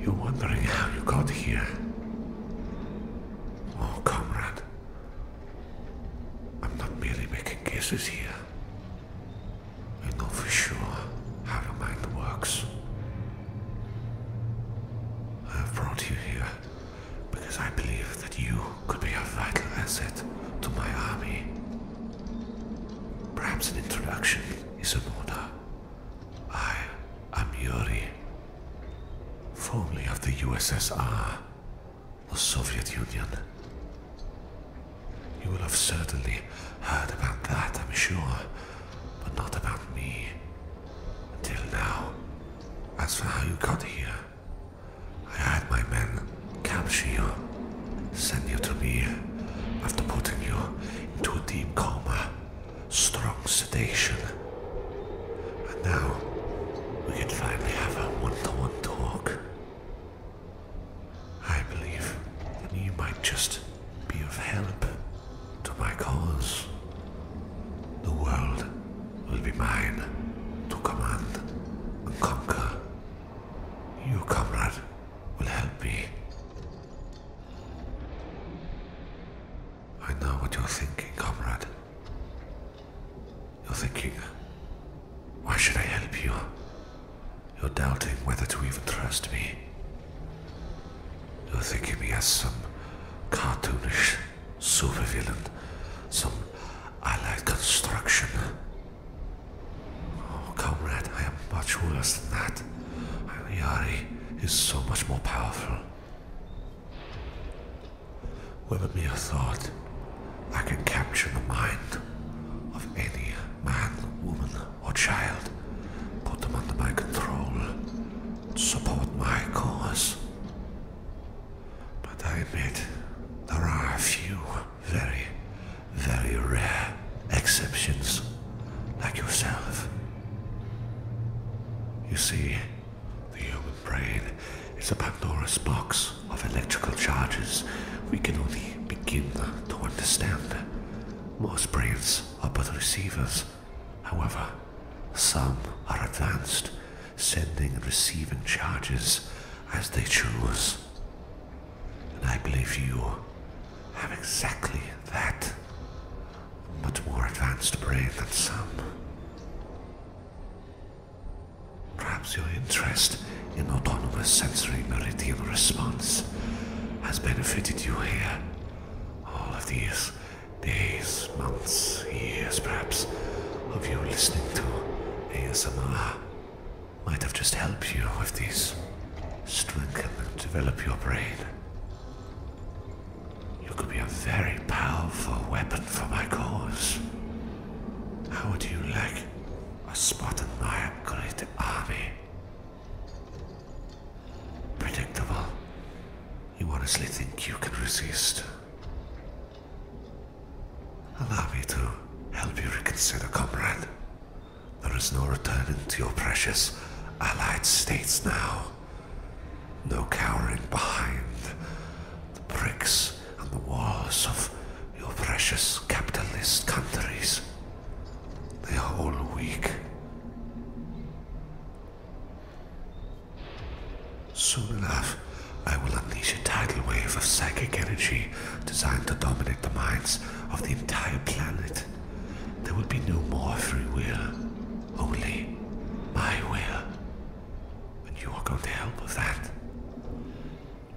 You're wondering how you got here. Oh, comrade, I'm not merely making guesses here. I know for sure how your mind works. I have brought you here because I believe that you could be a vital asset to my army. Perhaps an introduction is in order. I am Yuri, formerly of the USSR the Soviet Union. You will have certainly heard about that, I'm sure, but not about me. Until now. As for how you got here, I had my men capture you, send you to me, after putting you into a deep coma, strong sedation, and now we can finally have a one to one talk. I believe you might just be of help to my cause. The world will be mine to command and conquer. You, comrade, will help me. I know what you're thinking, comrade. You're thinking, why should I help you? You're doubting whether to even trust me. You're thinking me as some cartoonish supervillain, some allied construction. Oh, comrade, I am much worse than that. Yari is so much more powerful. With a thought, I can capture the mind of any man, woman, or child, put them under my control, support my cause. But I admit, there are few very, very rare exceptions, like yourself. You see, the human brain is a Pandora's box of electrical charges we can only begin to understand. Most brains are but receivers. However, some are advanced, sending and receiving charges as they choose. And I believe you have exactly that much more advanced brain than some. Perhaps your interest in autonomous sensory meridian response has benefited you here. All of these days, months, years perhaps, of you listening to ASMR might have just helped you with these strengthen and develop your brain. You could be a very powerful weapon for my cause. How would you like a spot in my great army? Predictable. You honestly think you can resist? Allow me to help you reconsider, comrade. There is no returning to your precious Allied states now. No cowering behind the bricks and the walls of your precious capitalist countries. They are all weak. Soon enough, I will unleash a tidal wave of psychic energy designed to dominate the minds of the entire planet. There will be no more free will. Only my will. And you are going to help with that.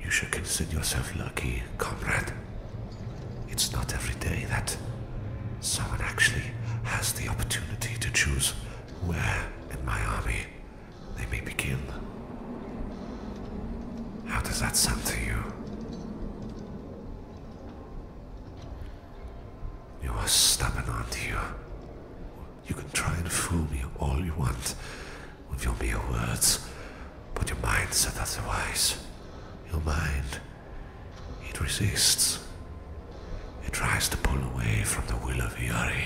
You should consider yourself lucky, comrade. It's not every day that someone actually has the opportunity to choose where in my army they may be How does that sound to you? You are stubborn, aren't you? You can try and fool me all you want with your mere words, but your mind said otherwise. Your mind, it resists. It tries to pull away from the will of Yari.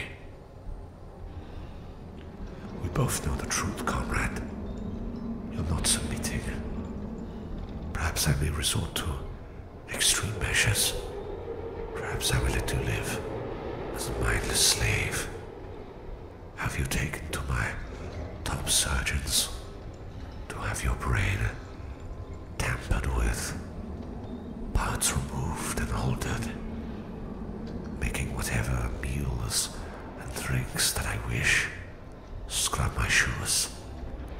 We both know the truth, comrade. You're not submitting. Perhaps I may resort to extreme measures. Perhaps I will let you live as a mindless slave. Have you taken to my top surgeons to have your brain tampered with, parts removed and altered, making whatever meals and drinks that I wish? scrub my shoes,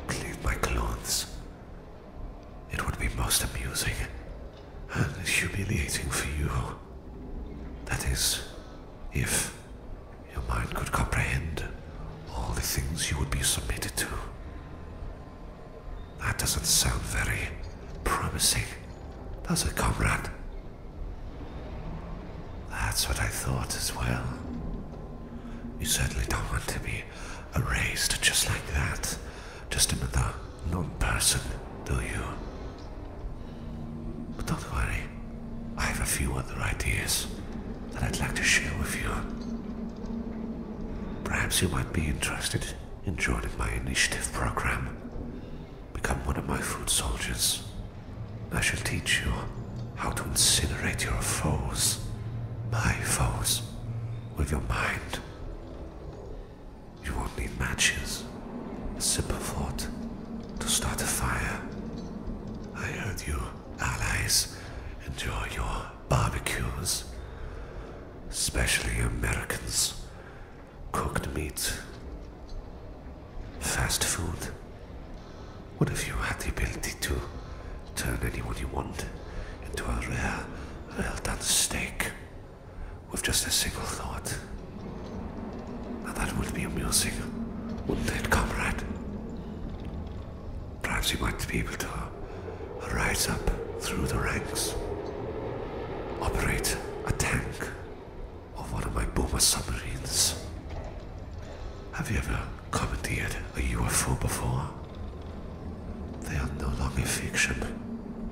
clean my clothes. It would be most amusing and humiliating for you. That is, if your mind could comprehend all the things you would be submitted to. That doesn't sound very promising, does it, comrade? That's what I thought as well. You certainly don't want to be erased just like that. Just another non-person, do you? But don't worry. I have a few other ideas that I'd like to share with you. Perhaps you might be interested in joining my initiative program. Become one of my foot soldiers. I shall teach you how to incinerate your foes, my foes, with your mind. You won't need matches. A simple thought to start a fire. I heard you, allies, enjoy your barbecues. Especially Americans. Cooked meat. Fast food. What if you had the ability to turn anyone you want into a rare, well done steak with just a single thought? Now that would be amusing, wouldn't it, comrade? Perhaps you might be able to rise up through the ranks, operate a tank of one of my Boma submarines. Have you ever commandeered a UFO before? They are no longer fiction.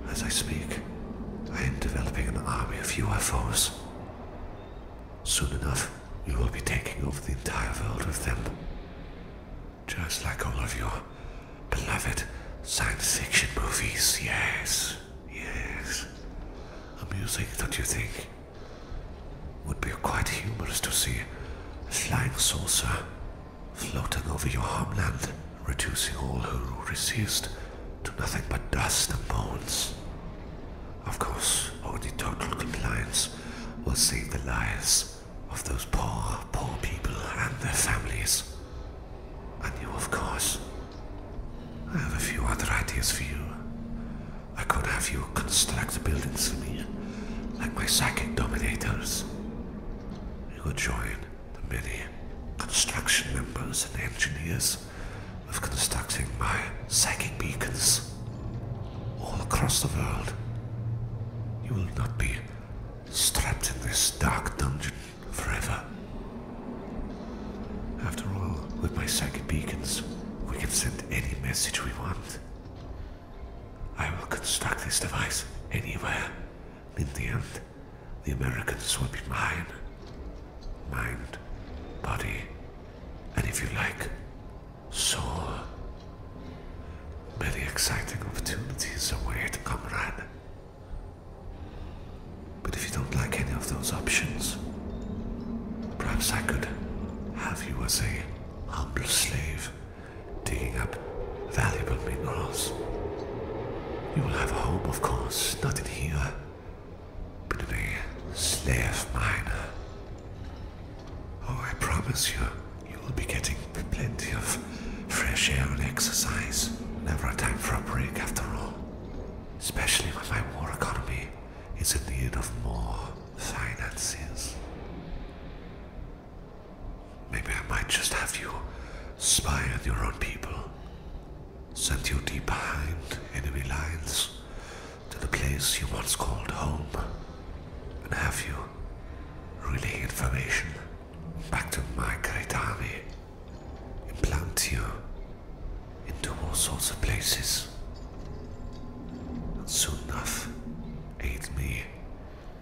As I speak, I am developing an army of UFOs. Soon enough, you will be taking over the entire world with them. Just like all of your beloved science fiction movies, yes. Yes. Amusing, don't you think? Would be quite humorous to see a flying saucer floating over your homeland, reducing all who resist to nothing but dust and bones. Of course, only total compliance will save the lives of those poor, poor people and their families. And you, of course, I have a few other ideas for you. I could have you construct buildings for me, like my psychic dominators. You will join the many construction members and engineers of constructing my psychic beacons all across the world. You will not be strapped in this dark dungeon forever. After all, with my psychic beacons, we can send any message we want. I will construct this device anywhere. In the end, the Americans will be mine. Mind, body, and if you like, soul. Many exciting opportunities await, comrade. But if you don't like any of those options, perhaps I could have you as a humble slave, digging up valuable minerals. You will have a home, of course, not in here, but in a slave miner. Oh, I promise you, you will be getting plenty of fresh air and exercise. Never a time for a break after all. Especially when my war economy is in need of more finances. Maybe I might just have you spy on your own people. Send you deep behind enemy lines to the place you once called home. And have you relay information back to my great army and plant you into all sorts of places. And soon enough, aid me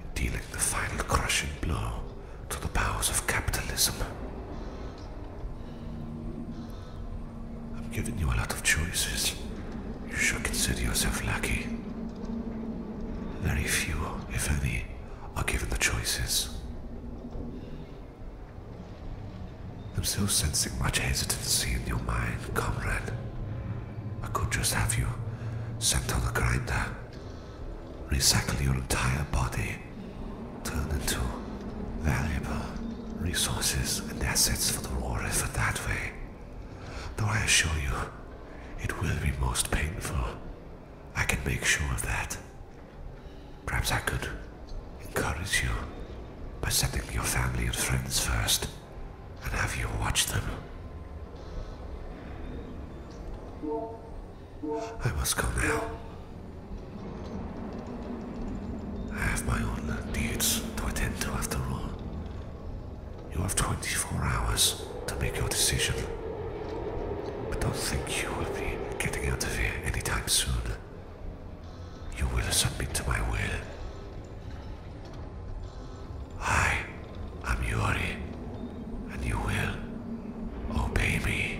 in dealing the final crushing blow to the powers of capitalism. I've given you a lot of choices. You should consider yourself lucky. Very few, if any, are given the choices. I'm still sensing much hesitancy in your mind, comrade. I could just have you sent on the grinder, recycle your entire body, turn into valuable resources and assets for the war effort that way. Though I assure you, it will be most painful. I can make sure of that. Perhaps I could encourage you by sending your family and friends first, and have you watch them. I must go now. I have my own needs to attend to after all. You have 24 hours to make your decision. But don't think you will be getting out of here anytime soon. You will submit to my will. I am Yuri, and you will obey me.